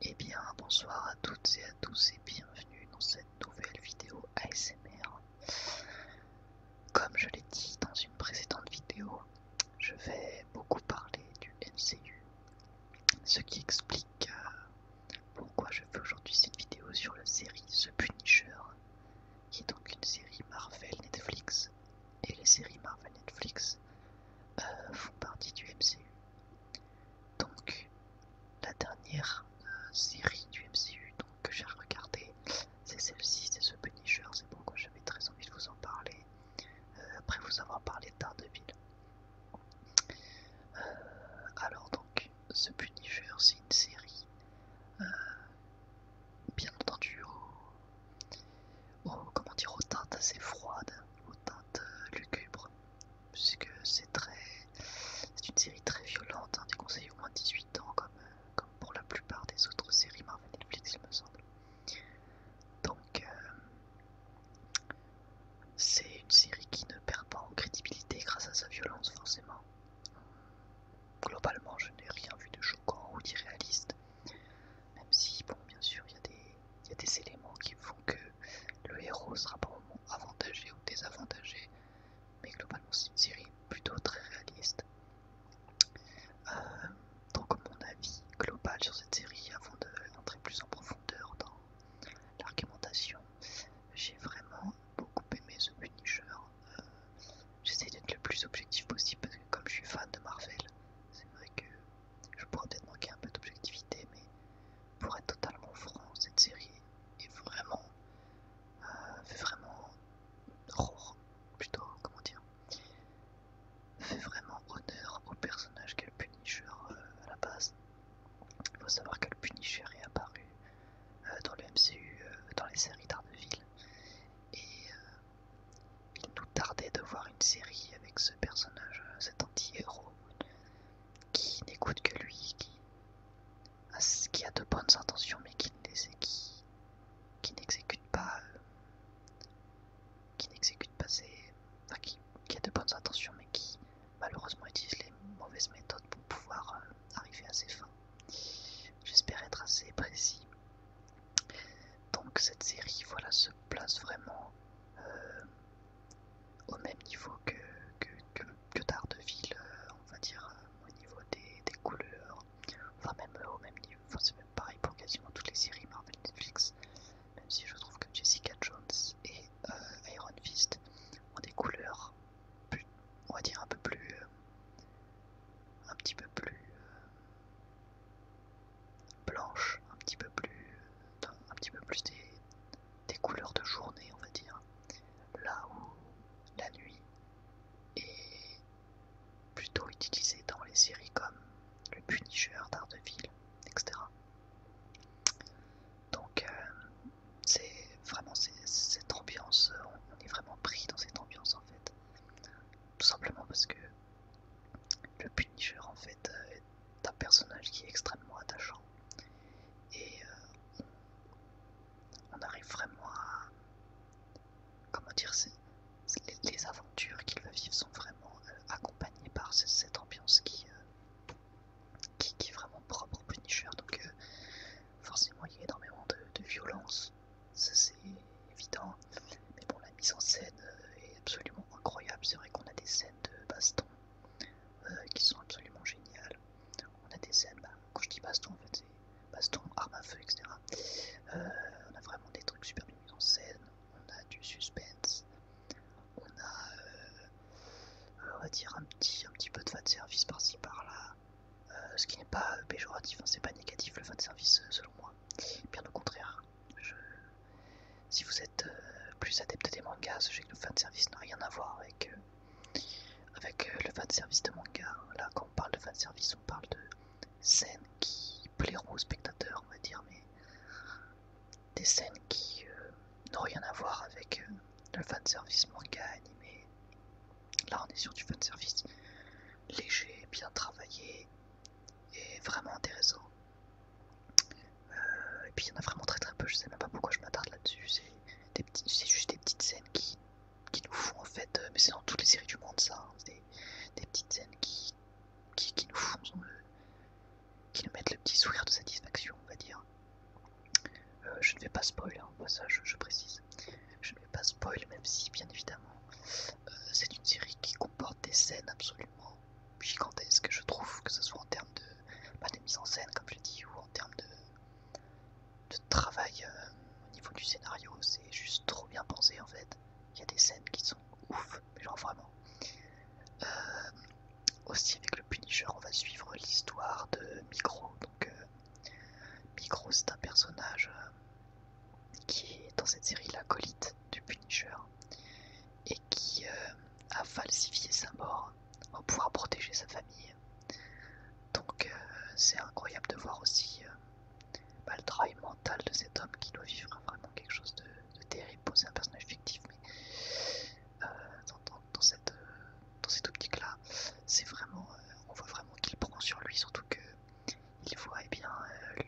Eh bien bonsoir à toutes et à tous et bienvenue dans cette nouvelle vidéo ASMR. Comme je l'ai dit dans une précédente vidéo, je vais beaucoup parler du MCU, ce qui explique euh, pourquoi je fais aujourd'hui cette vidéo sur la série The Punisher, qui est donc une série Marvel Netflix, et les séries Marvel Netflix euh, font partie du MCU. Donc, la dernière euh, série du MCU que j'ai regardée, c'est celle-ci, c'est ce Punisher, c'est pourquoi j'avais très envie de vous en parler, euh, après vous avoir parlé de ville. Euh, alors donc, ce Punisher, c'est une série, bien entendu, aux, comment dire, teintes assez froides, aux teintes lugubres, puisque c'est très, c'est une série très violente, hein, des conseils au moins 18 ans, comme, pour la plupart des autres séries Marvel Netflix, il me semble. Donc, euh, c'est une série qui ne perd pas en crédibilité grâce à sa violence, forcément. Globalement, je n'ai rien vu de choquant ou d'irréaliste, même si, bon, bien sûr, il y a des il y a des éléments qui font que le héros sera par avantagé ou désavantagé, mais globalement c'est une série plutôt très réaliste. Euh, donc mon avis global sur cette série, avant de d'entrer plus en profondeur dans l'argumentation, j'ai vraiment beaucoup aimé The Punisher. Euh, j'essaie d'être le plus objectif possible parce que comme je suis fan de Marvel, c'est vrai que je pourrais peut-être manquer un peu d'objectivité, mais pour être totalement franc, cette série est vraiment, euh, fait vraiment, plutôt, comment dire, fait vraiment honneur au personnage qu'est le Punisher euh, à la base. Il faut savoir que le Punisher est apparu euh, dans le MCU, dans les séries d'Arneville, et il nous tardait de voir une série avec ce personnage, cet anti-héros qui n'écoute que lui, qui a, de bonnes intentions mais qui n'exécute pas, euh, qui n'exécute pas ses, qui, a de bonnes intentions mais qui malheureusement utilise les mauvaises méthodes pour pouvoir euh, arriver à ses fins. J'espère être assez précis. Donc cette série, voilà, se place vraiment euh, au même niveau que, que, que, Daredevil, euh, on va dire, euh, au niveau des, couleurs, enfin même euh, au même niveau, c'est même pareil pour quasiment toutes les séries Marvel Netflix, même si je trouve que Jessica Jones et Iron Fist ont des couleurs, plus, on va dire un peu plus, un petit peu plus, blanche, un petit peu plus, un petit peu plus des, couleurs de journée, on va dire, là où la nuit est plutôt utilisée dans les séries comme Le Punisher, ville etc. Donc euh, c'est vraiment cette ambiance, on est vraiment pris dans cette ambiance en fait, tout simplement parce que le Punisher en fait est euh, d'un personnage qui est extrêmement attachant et euh, on, arrive vraiment à comment dire c'est les, aventures qu'il va vivre sont vraiment euh, accompagnées par cette ambiance euh, qui, qui, est vraiment propre au Punisher donc forcément il y a énormément de, de violence ça c'est évident mais bon la mise en scène euh, est absolument incroyable. C'est vrai qu'on a des scènes de baston euh, qui sont absolument géniales. On a des scènes, bah, quand je dis baston, en fait, c'est baston, arme à feu, etc. Euh, on a vraiment des trucs super bien mis en scène. On a du suspense. On a, on va dire, un petit, un petit peu de fan service par-ci par-là. ce qui n'est pas péjoratif, hein, c'est pas négatif le fan service selon moi. Bien au contraire. Si vous êtes euh, plus adepte des mangas, sachez que le fanservice n'a rien à voir avec, euh, avec euh, le fanservice de manga. Là, quand on parle de fanservice, on parle de scènes qui plairont aux spectateurs, on va dire, mais des scènes qui n'ont rien à voir avec le fanservice manga, animé. Là, on est sur du fanservice léger, bien travaillé et vraiment intéressant. Euh, et puis il y en a vraiment très très peu, je sais même pas pourquoi je m'attarde là-dessus. C'est juste des petites scènes qui, nous font en fait, euh, mais c'est dans toutes les séries du monde ça, hein. des, petites scènes qui, nous font, euh, qui nous mettent le petit sourire de satisfaction, on va dire. je ne vais pas spoiler, hein, ça je, précise. Je ne vais pas spoiler même si bien évidemment c'est une série qui comporte des scènes absolument gigantesque, je trouve, que ce soit en termes bah, de, mise en scène, comme je dis ou en termes de, travail euh, au niveau du scénario. C'est juste trop bien pensé en fait. Il y a des scènes qui sont ouf, mais genre vraiment. Euh, aussi avec le Punisher, on va suivre l'histoire de Micro. Donc euh, Micro, c'est un personnage qui est dans cette série l'acolyte du Punisher et qui euh, a falsifié sa mort pour pouvoir protéger sa famille. Donc euh, c'est incroyable de voir aussi euh, bah, le travail mental de cet homme qui doit vivre vraiment quelque chose de, terrible. pour c'est un personnage fictif, mais dans, cette, dans cette optique là, c'est vraiment, on voit vraiment qu'il prend sur lui, surtout que il voit, eh bien, le,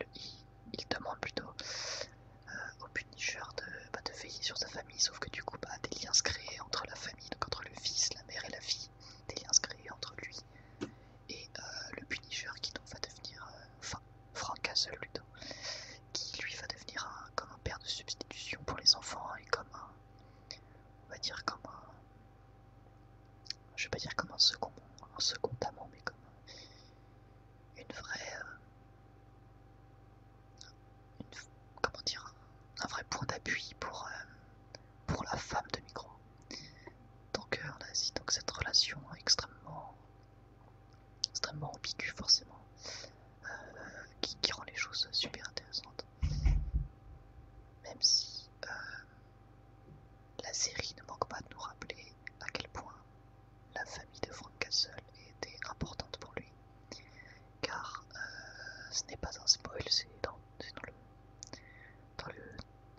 il demande plutôt euh, au punisseur de, bah, de veiller sur sa famille, sauf que du coup, bah, des liens se créent entre la famille, donc entre le fils, la mère et la fille, des liens se créent entre lui et euh, le punisseur qui donc va devenir, euh, enfin, Frank Castle plutôt, qui lui va devenir comme un père de substitution pour les enfants et comme un, on va dire comme un, je vais pas dire comme un second, un second amant, mais comme une vraie. Euh, comment dire Un vrai point d'appui pour, euh, la femme de Micro. Donc cœur on a cette relation extrêmement, extrêmement ambiguë, forcément, euh, qui, rend les choses super intéressantes. Même si la série ne manque pas de nous rappeler à quel point la famille de Frank Castle était importante pour lui, car euh, ce n'est pas un spoil, c'est dans, le,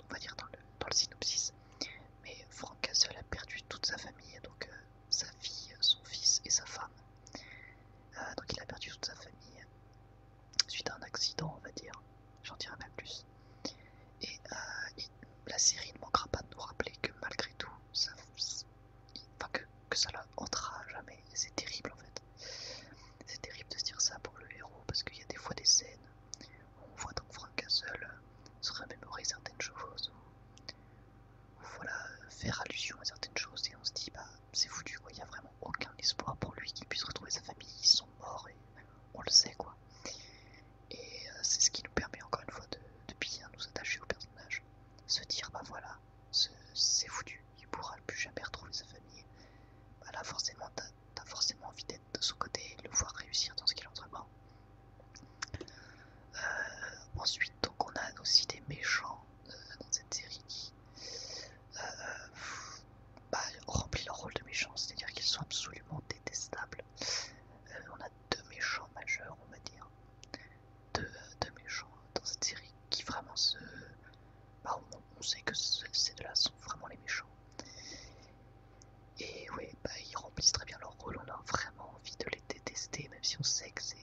va dire dans le, synopsis. Mais Frank Castle a perdu toute sa famille, donc euh, sa fille, son fils et sa femme. Euh, donc il a perdu toute sa famille suite à un accident, on va dire. J'en dirai même plus. Euh, et la série ne manquera pas de nous rappeler que malgré tout, ça, que, que ça la jamais. C'est terrible en fait. C'est terrible de se dire ça pour le héros parce qu'il y a des fois des scènes où on voit donc Frank Castle se remémorer certaines choses ou voilà, faire allusion à certaines choses et on se dit bah c'est foutu il n'y a vraiment aucun espoir pour lui qu'il puisse retrouver sa famille, ils sont morts et on le sait quoi. Et euh, c'est ce qui nous permet encore une fois de, bien nous attacher au personnage. Se dire, bah voilà, c'est foutu, il pourra plus jamais retrouver sa famille. Bah là, forcément, t'as forcément envie d'être de son côté et de le voir réussir dans ce qu'il entreprend. Euh, ensuite, donc, on a aussi des méchants euh, dans cette série qui bah, remplissent leur rôle de méchants. c'est-à-dire qu'ils sont absolument détestables deux méchants majeurs, on va dire. de méchants dans cette série qui vraiment se. Bah, on, sait que ces deux-là sont vraiment les méchants. Et oui, bah, ils remplissent très bien leur rôle, on a vraiment envie de les détester, même si on sait que c'est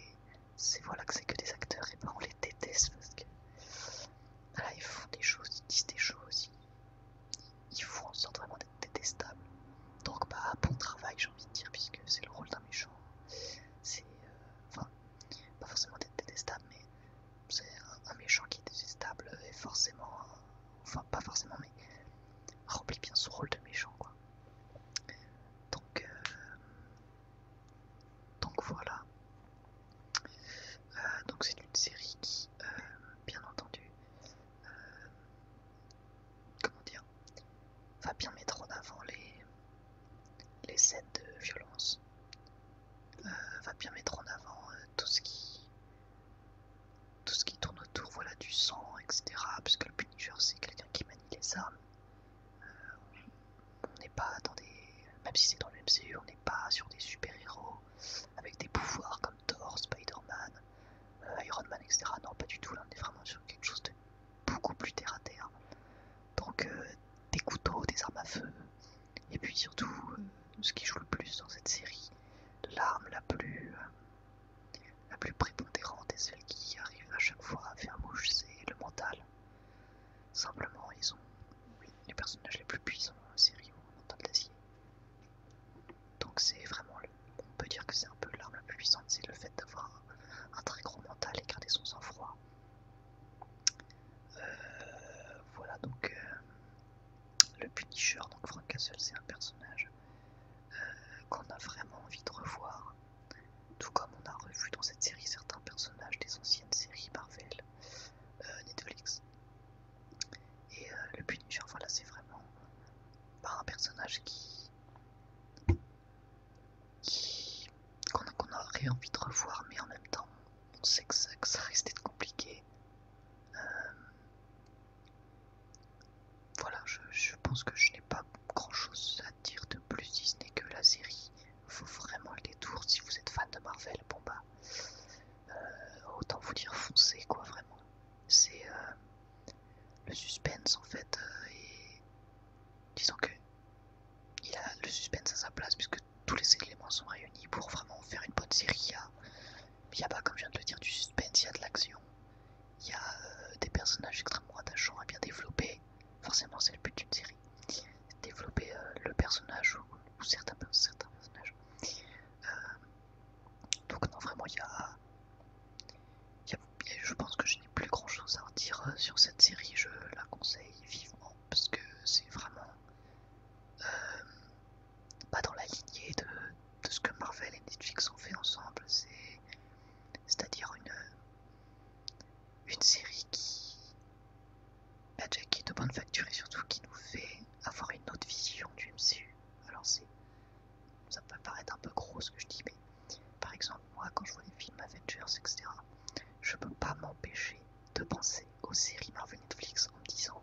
voilà, que, c'est que des acteurs, et bah, on les déteste parce que. ils font des choses, ils disent des choses, ils, ils font en vraiment détestable. Donc bah bon travail j'ai envie de dire puisque c'est le rôle d'un méchant. C'est euh, enfin pas forcément détestable mais c'est un, méchant qui est détestable et forcément enfin pas forcément mais remplit bien son rôle de méchant quoi. Donc euh, donc voilà. Euh, donc c'est une série qui bien entendu comment dire, va bien mettre en avant les, scènes de violence, euh, va bien mettre en avant euh, tout ce qui tout ce qui tourne autour voilà, du sang, etc. Parce que le Punisher, c'est quelqu'un qui manie les armes. Euh, on n'est pas dans des. Même si c'est dans le MCU, on n'est pas sur des super-héros avec des pouvoirs comme Thor, Spider-Man, euh, Iron Man, etc. Non, pas du tout, là on est vraiment sur quelque chose de beaucoup plus terre à terre. Donc euh, des couteaux, des armes à feu, et puis surtout euh, ce qui joue le plus dans cette série, l'arme la plus prépondérante et celle qui arrive à chaque fois à faire mouche, c'est le mental. Simplement, ils ont les personnages les plus puissants dans la série mental d'acier. Donc c'est vraiment, on peut dire que c'est un peu l'arme la plus puissante, c'est le fait d'avoir un, très gros mental et garder son sang-froid. Euh, voilà donc euh, le Punisher, donc Frank Castle, c'est un personnage euh, qu'on a vraiment envie de revoir, tout comme on a revu dans cette série certains personnages des anciennes séries Marvel, Netflix. Et le Punisher, voilà, c'est vraiment par un personnage qui qu'on aurait envie de revoir, mais en même temps, on sait que ça, que ça risque compliqué. Euh, voilà, je, pense que je n'ai pas grand-chose à dire de plus, Disney que la série faut vraiment le détour. Si vous êtes fan de Marvel, bon bah, euh, autant vous dire foncez, quoi, vraiment. C'est euh, le suspense en fait euh, est... disons que il a le suspense à sa place puisque tous les éléments sont réunis pour vraiment faire une bonne série. Il y a, pas comme je viens de le dire du suspense, il y a de l'action, il y a euh, des personnages extrêmement attachants à bien développés. Forcément c'est le but d'une série. Développer euh, le personnage ou, certains, personnages. Donc non, vraiment, il y a, Je pense que je n'ai plus grand-chose à en dire euh, sur cette série. Je la conseille vivement parce que c'est vraiment euh, pas dans la lignée de, ce que Marvel et Netflix ont fait ensemble. C'est-à-dire une, série qui a bah, est de bonne facture et surtout qui nous fait avoir une autre vision du MCU. Alors c'est ça peut paraître un peu gros ce que je dis, mais par exemple, moi quand je vois les films Avengers, etc., je peux pas m'empêcher de penser aux séries Marvel Netflix en me disant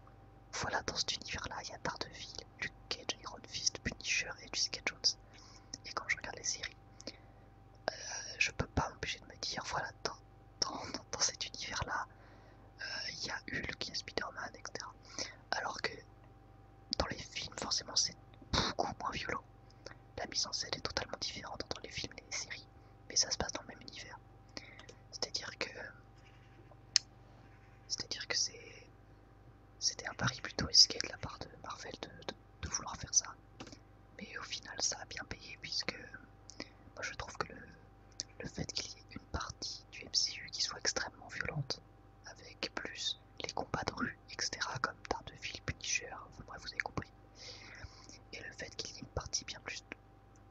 voilà, dans cet univers-là, il y a Daredevil, Luke Cage, Iron Fist, Punisher et Jessica Jones. Et quand je regarde les séries, euh, je peux pas m'empêcher de me dire voilà, dans, cet univers-là, euh, il y a Hulk, il y a Spider-Man, etc. Alors que dans les films, forcément, c'est beaucoup moins violent. La mise en scène est totalement différente entre les films et les séries, mais ça se passe dans le même univers. C'est-à-dire que. cest C'était un pari plutôt risqué de la part de Marvel de, vouloir faire ça. Mais au final, ça a bien payé, puisque. Moi, je trouve que le, le fait qu'il y ait une partie du MCU qui soit extrêmement violente, avec plus les combats de rue, etc. comme Daredevil, Punisher, enfin bref, vous avez compris. Et le fait qu'il y ait une partie bien plus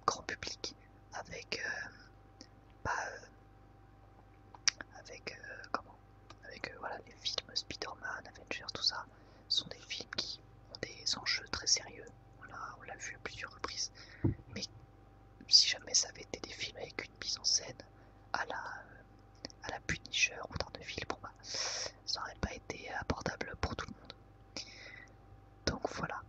grand public avec. Euh, bah, euh, avec. Euh, comment Avec voilà, les films Spider-Man, Avengers, tout ça, sont des films qui ont des enjeux très sérieux. Voilà, on l'a vu à plusieurs reprises, mais si jamais ça avait été des films avec une mise en scène à la, euh, à la Punisher ou Daredevil, bah, ça n'aurait pas été abordable pour tout le monde. Donc voilà,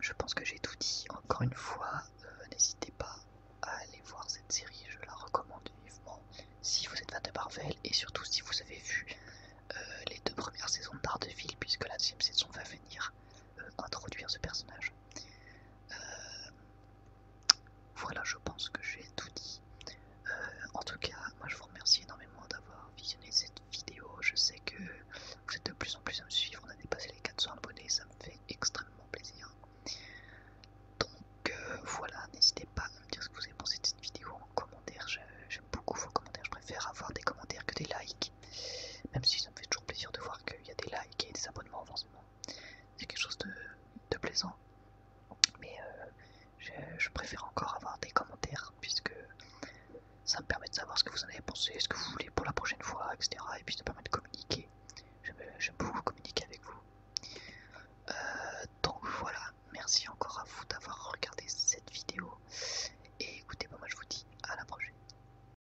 je pense que j'ai tout dit. Encore une fois, euh, n'hésitez pas à aller voir cette série, je la recommande vivement si vous êtes fan de Marvel et surtout si vous avez vu euh, les deux premières saisons de puisque la deuxième saison va venir introduire ce personnage. Euh, voilà, je pense que j'ai tout dit. Euh, en tout cas, moi je vous remercie énormément d'avoir visionné cette vidéo. Je sais que vous êtes de plus en plus à me suivre. On a dépassé les 400 abonnés, ça me fait extrêmement plaisir. Donc euh, voilà, n'hésitez pas à me dire ce que vous avez pensé de cette vidéo en commentaire. J'aime beaucoup vos commentaires. Je préfère avoir des commentaires que des likes. Même si ça me fait toujours plaisir de voir qu'il y a des likes et des abonnements forcément, C'est quelque chose de, plaisant. Mais euh, je, préfère encore avoir des commentaires puisque ça me permet de savoir ce que vous en avez pensé, ce que vous voulez pour la prochaine fois, etc. Et puis ça permet de communiquer. J'aime beaucoup communiquer avec vous. Euh, donc voilà, merci encore à vous d'avoir regardé cette vidéo. Et écoutez, moi je vous dis à la prochaine.